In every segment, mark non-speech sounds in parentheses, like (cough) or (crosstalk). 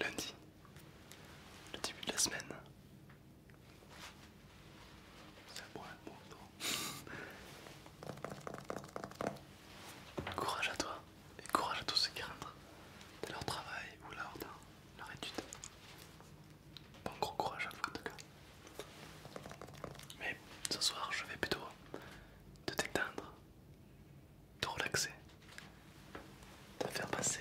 Lundi, le début de la semaine. bon Courage à toi et courage à tous ceux qui rentrent dans leur travail ou leur, leur étude. Bon gros courage à vous en tout cas. Mais ce soir, je vais plutôt te détendre, te relaxer, te faire passer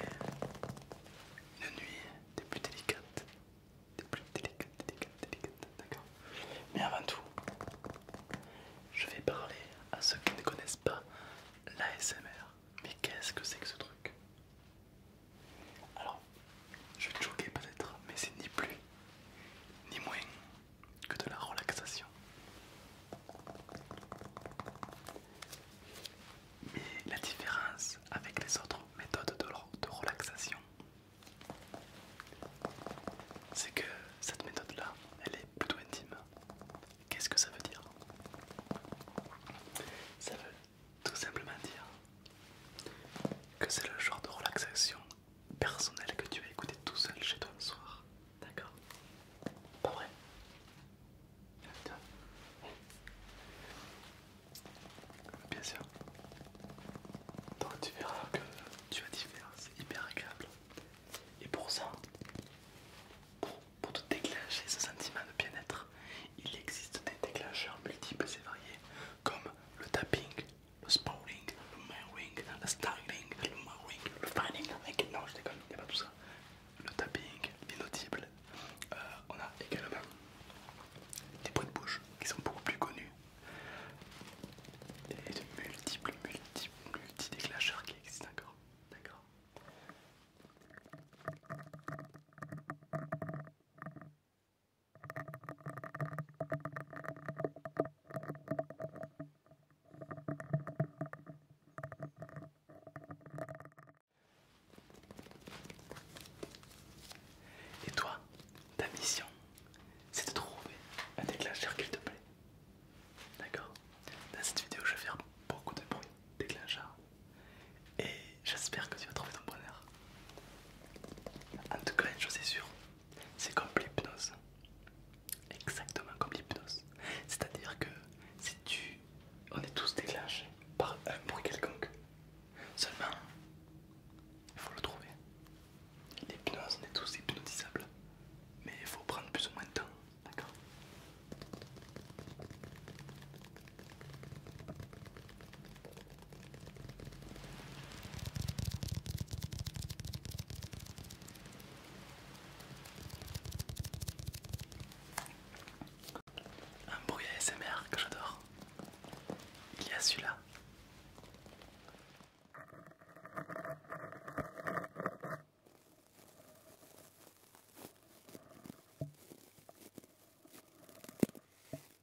une nuit des plus délicates, des plus délicates, délicates, délicates, d'accord Mais avant tout, je vais parler à ceux qui ne connaissent pas l'ASMR. Mais qu'est-ce que c'est que ce truc alors, je vais te choquer peut-être, mais c'est ni plus ni moins que de la relaxation. Mais la différence avec les autres méthodes de, relaxation, c'est que cette méthode-là, elle est plutôt intime. Qu'est-ce que ça veut dire Ça veut tout simplement dire que c'est le genre de relaxation personnelle que tu vas écouter tout seul chez toi le soir. D'accord Pas vrai Bien sûr. Donc tu verras que tu vas t'y c'est hyper agréable. Et pour ça, pour, pour te déclencher ce sentiment de bien-être, il existe des déclencheurs multiples et variés, comme le tapping, le spawning, le mailing, le styling, le mailing, le fanning, eh, non je déconne, il n'y a pas tout ça. Le tapping, l'inaudible. Euh, on a également des bruits de bouche qui sont beaucoup plus connus. Et de multiples, multiples, multi déclencheurs qui existent encore. D'accord et toi, ta mission, c'est de trouver un déclencheur qu'il te plaît. D'accord Dans cette vidéo, je vais faire beaucoup de bruit déclencheur et j'espère que tu vas trouver ton bonheur. En tout cas, une chose est sûre, c'est comme l'hypnose. Exactement comme l'hypnose. C'est-à-dire que si tu... On est tous déclenchés par un bruit quelconque. Seulement, il faut le trouver. L'hypnose, on est tous hypnotisables. Mais il faut prendre plus ou moins de temps. D'accord un bruit SMR que j'adore. Il y a celui-là.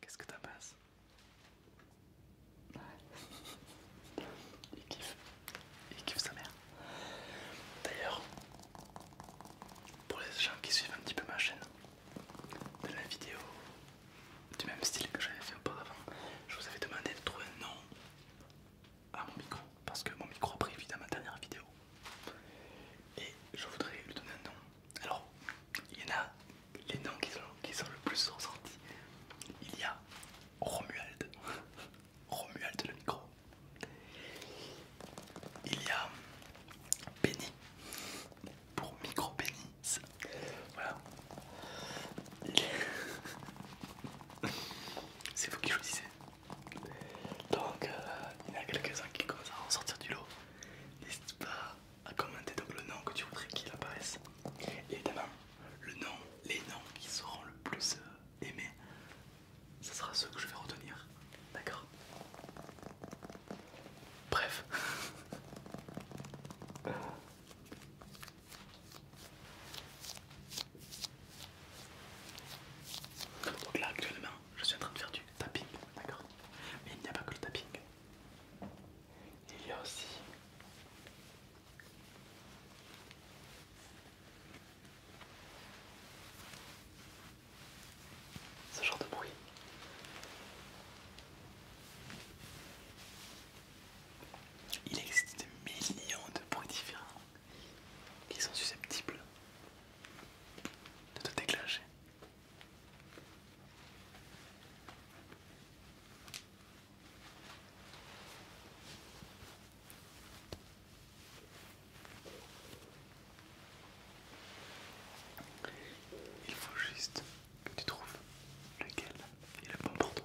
Qu'est-ce que t'en penses (laughs) Il kiffe. Il kiffe sa mère. D'ailleurs, pour les gens qui suivent un petit peu ma chaîne, dans la vidéo du même style que j'avais fait avant je vous avais demandé de trouver un nom à mon micro parce que mon micro a pris vie dans ma dernière vidéo et je voudrais lui donner un nom alors il y en a les noms qui sont, le plus ressortis. Il y a Romuald, (laughs) Romuald le micro. Il y a Benny pour micro Benny. Voilà. (laughs) C'est vous qui choisissez. Donc euh, il y en a quelques-uns qui commencent à ressortir du lot. n'hésitez pas à ah, commenter donc le nom que tu voudrais qu'il apparaisse. Et évidemment, le nom, les noms qui seront le plus euh, aimés, ce sera ceux que je vais retenir. D'accord Bref. (laughs) Donc là actuellement je suis en train de faire du tapping, d'accord Mais il n'y a pas que le tapping, il y a aussi ce genre de bruit. Il existe des millions de bruits différents qui sont susceptibles de te déclencher. Il faut juste que tu trouves lequel est le bon pour toi.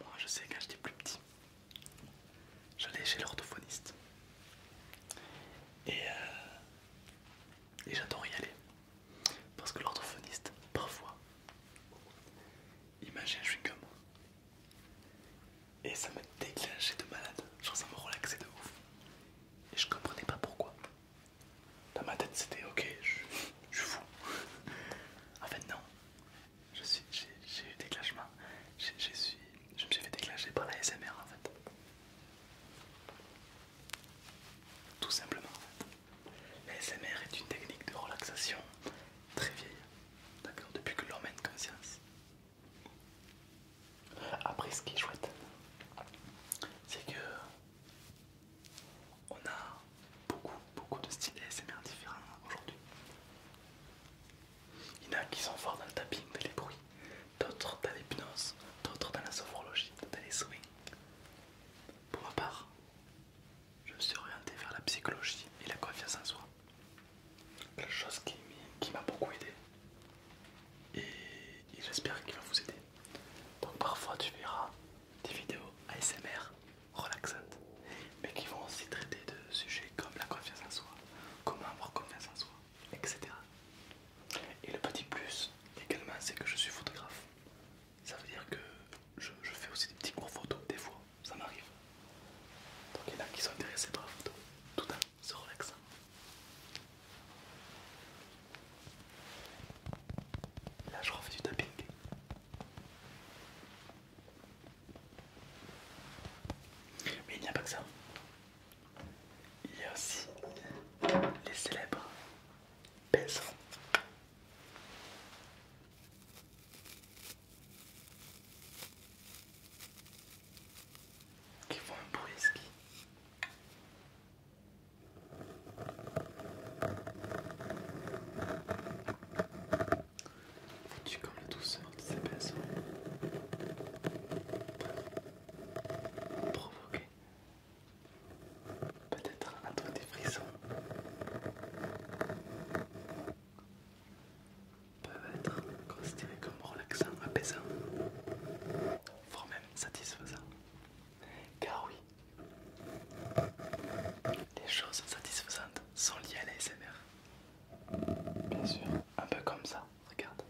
Moi je sais quand j'étais plus petit, j'allais chez l'orthophoniste. Et, euh, j'adore y aller. Parce que l'orthophoniste, parfois, il je suis comme Et ça me déclenchait de malade. Genre ça me relaxait de ouf. Et je comprenais pas pourquoi. Dans ma tête, c'était ok, je, suis fou. en fait, non. J'ai eu des suis Je me suis fait déclencher par la SMR en fait. Tout simplement. La SMR est une technique de relaxation très vieille. D'accord Depuis que l'homme a conscience. Après, ce qui est chouette, c'est que on a beaucoup, beaucoup de styles ASMR différents aujourd'hui. Il y en a qui sont forts dans le tapping, dans les bruits, d'autres dans l'hypnose, d'autres dans la sophrologie, dans les swings. Pour ma part, je me suis orienté vers la psychologie et la confiance en soi. La chose qui m'a beaucoup aidé. et j'espère qu'il va vous aider. Donc parfois tu verras des vidéos ASMR relaxantes, mais qui vont aussi traiter de sujets comme la confiance en soi, comment avoir confiance en soi, etc. Et le petit plus également, c'est que je suis photographe. Ça veut dire que je, fais aussi des petits cours photos, des fois, ça m'arrive. Donc il y en a qui sont intéressés par la photo, tout en se relaxant. Là, je refais du dumping. Mais il n'y a pas que ça. Il y a aussi les célèbres baisers. qui font un bruit tu comme la douceur de ces personnes provoquer peut-être un des frissons peuvent être considérés comme relaxants, apaisants, voire même satisfaisant, Car oui, les choses satisfaisantes sont liées à l'ASMR. Bien sûr, un peu comme ça, regarde.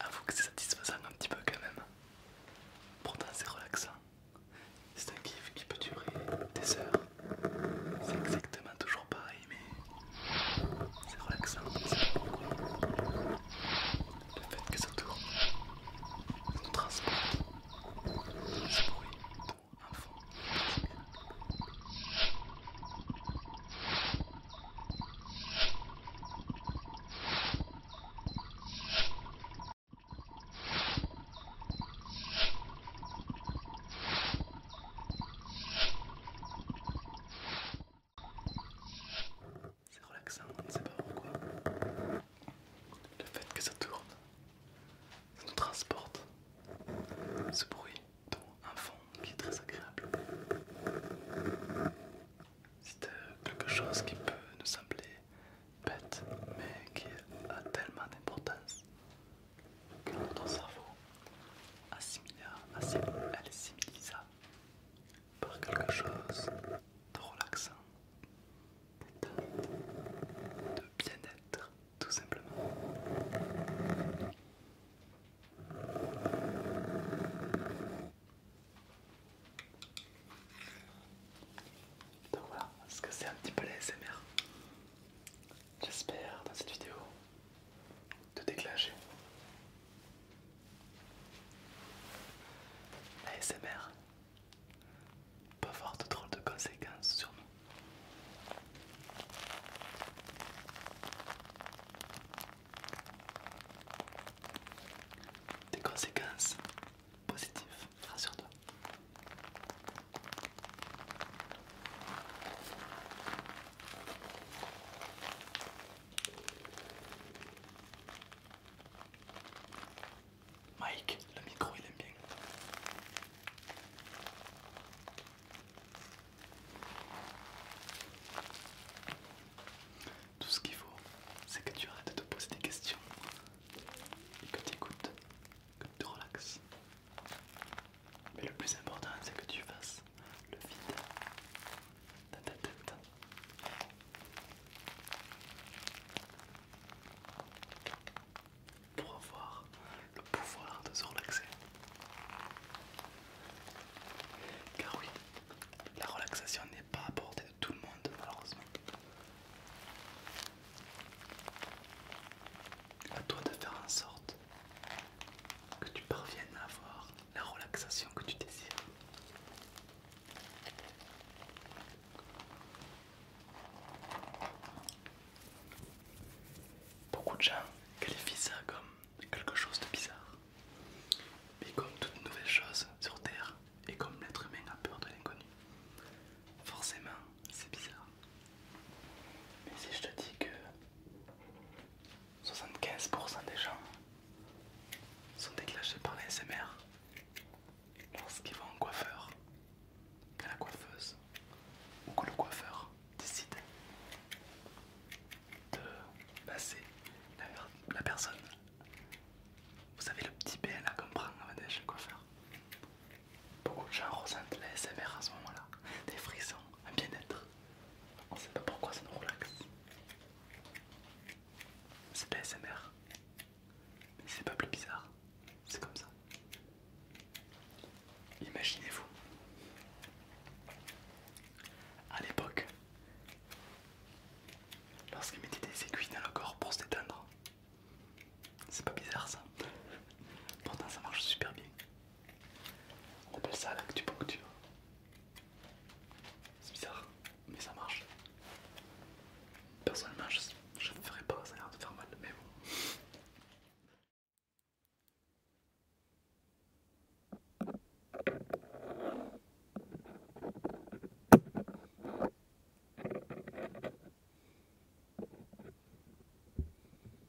Avoue que c'est satisfaisant un petit peu quand même. Pourtant c'est relaxant. C'est un kiff qui peut durer des heures. C'est exactement toujours pareil mais c'est relaxant ça. Le fait que ça tourne nous transporte ce bruit c'est relaxant, on ne sait pas pourquoi. Le fait que ça tourne, ça nous transporte. Ce bruit, dans un fond qui est très agréable. C'est euh, quelque chose qui peut nous sembler bête, mais qui a tellement d'importance notre cerveau assimilera par quelque chose de relaxant, de bien-être, tout simplement. Donc voilà ce que c'est un petit peu les J'espère dans cette vidéo de déclencher. SMR, peut avoir de drôles de conséquences sur nous. Des conséquences positives, rassure-toi. Mike, le micro il aime bien. Tout ce qu'il faut, c'est que tu arrêtes de te poser des questions et que tu écoutes, que tu te relaxes. Mais le plus important, c'est que tu fasses le vide dans ta tête. Pour avoir le pouvoir de se relaxer. Car oui, la relaxation n'est pas à de tout le monde malheureusement. À toi de faire en sorte que tu parviennes à avoir la relaxation que tu désires. Beaucoup de gens qualifient ça comme quelque chose de bizarre. Mais comme toute nouvelle chose sur Terre, et comme l'être humain a peur de l'inconnu, forcément c'est bizarre. Mais si je te dis que 75% des gens sont déclenchés par l'ASMR lorsqu'ils vont en coiffeur, que la coiffeuse ou que le coiffeur décide de passer la, personne. Vous savez le petit bain là qu'on prend avant chez le coiffeur Beaucoup de gens ressentent la SMR à ce moment-là, des frissons, un bien-être. On ne sait pas pourquoi ça nous relaxe. C'est pas SMR. Mais c'est pas plus bizarre. C'est comme ça. Imaginez-vous. À l'époque, lorsqu'ils mettaient des aiguilles dans le corps pour s'éteindre. c'est pas bizarre ça. Pourtant ça marche super bien. On appelle ça la l'actupuncture. C'est bizarre, mais ça marche. Personnellement, je, je ne ferai pas, ça a de faire mal, mais bon.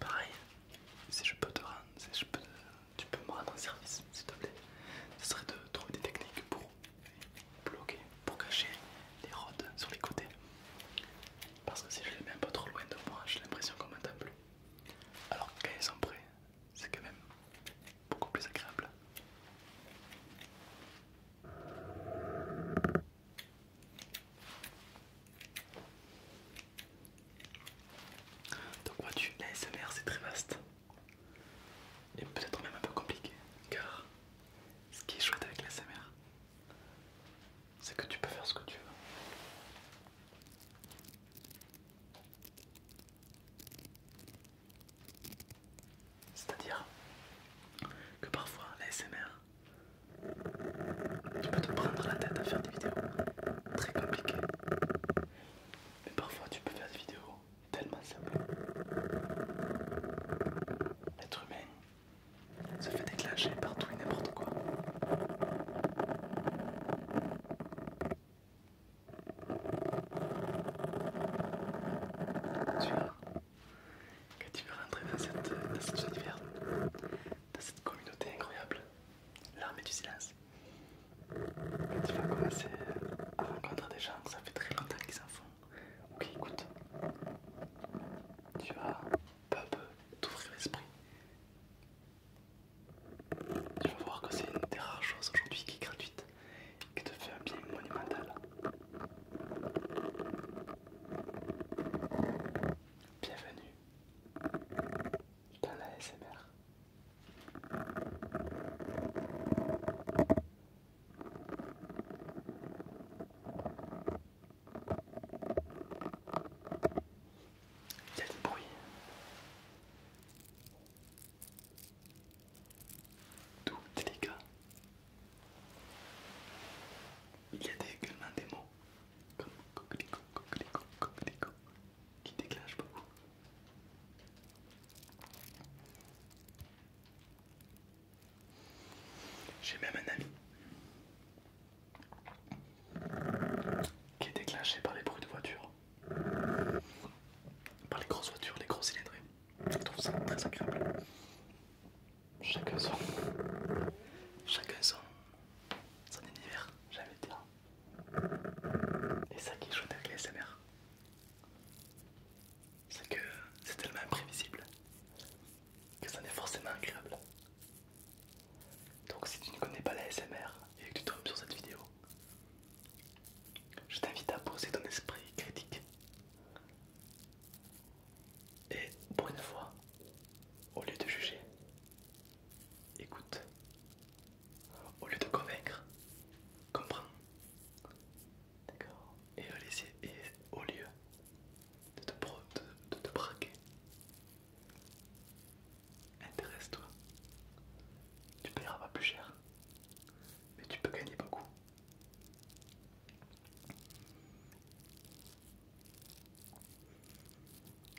Pareil, si je peux te rendre, si je peux, tu peux me rendre un service, s'il te plaît. Ce serait de trouver des techniques pour bloquer, pour cacher les rods sur les côtés. Parce que si je les mets un peu trop loin de moi, j'ai l'impression qu'on m'entend plus. Alors quand ils sont prêts, c'est quand même beaucoup plus agréable. Donc vois-tu, la SMR c'est très vaste et peut-être même un peu compliqué car ce qui est chouette avec la c'est que tu peux faire ce que tu veux. C'est-à-dire que parfois la SMR, tu peux te prendre la tête à faire des vidéos très compliquées. Mais parfois tu peux faire des vidéos tellement simples. L'être humain se fait déclencher partout et n'importe quoi. Tu vas, quand tu veux rentrer dans cet univers, dans cette communauté incroyable, l'armée du silence, tu vas commencer à rencontrer des gens que ça fait très longtemps qu'ils s'en font ou qui écoutent, tu vas peu à peu t'ouvrir l'esprit tu vas voir que c'est une des rares choses aujourd'hui qui est gratuite et qui te fait un bien monumental. Bienvenue dans la SMR. Il y a bruit. Tout délicat. Il y a également des mots comme coquelicot, coquelicot, coquelicot qui déclenchent beaucoup. J'ai même un ami qui est déclenché par les bruits de voiture par les grosses voitures, les grosses cylindrés. Je trouve ça très agréable. Chacun son. Chacun son. Son univers, j'ai envie de dire. Et ça qui est chouette avec les SMR, c'est que c'est tellement imprévisible que ça n'est forcément agréable. Donc si tu ne connais pas la SMR et que tu tombes sur cette vidéo, je t'invite à poser ton esprit critique. Et pour une fois, au lieu de juger, écoute. Au lieu de convaincre, comprends. D'accord et, et au lieu de te braquer, Intéresse-toi. Tu payeras pas plus cher. Mais tu peux gagner beaucoup.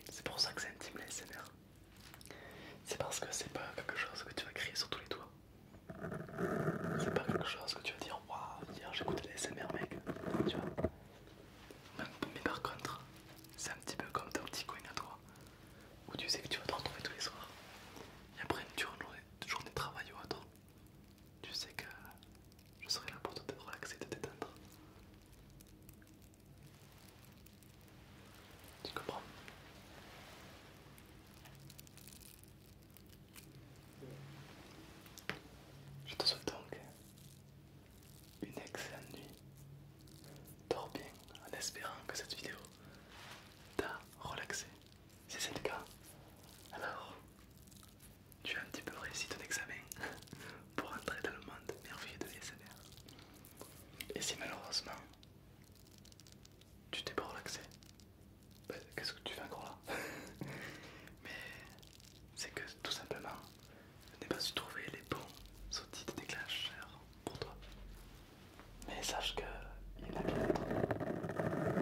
C'est pour ça que c'est intime les C'est parce que c'est pas quelque chose que tu vas crier sur tous les toits. C'est pas quelque chose que tu vas dire waouh, hier j'écoutais les SMR mec. Mais par contre, c'est un petit peu comme ton petit coin à toi, où tu sais que tu vas te retrouver tous les soirs. Et après une journée, de travail ou autre, tu sais que je serai là pour te relaxer, te détendre. Tu comprends Je te souhaite donc une excellente nuit. Dors bien en espérant que cette vidéo t'a relaxé. Si c'est le cas, alors tu as un petit peu réussi ton examen (laughs) pour entrer dans le monde merveilleux de l'ASMR. Et si malheureusement tu t'es pas relaxé, ben, qu'est-ce que tu fais encore là (laughs) Mais c'est que tout simplement je n'ai pas su trouver les bons outils de déclencheur pour toi. Mais sache que il y en a bien d'autres.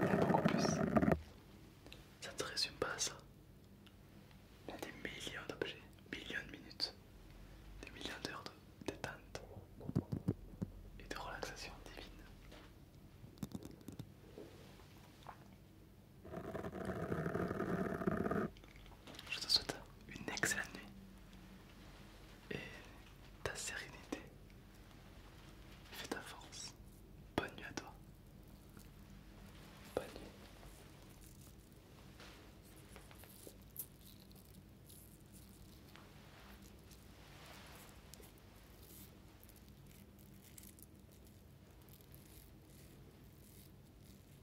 Il y en a beaucoup plus. Ça ne se résume pas à ça. Il y a des millions d'objets, millions de minutes, des millions d'heures de détente et de relaxation divine. Je te souhaite une excellente nuit et ta sérénité fait ta force. Bonne nuit à toi. Bonne nuit.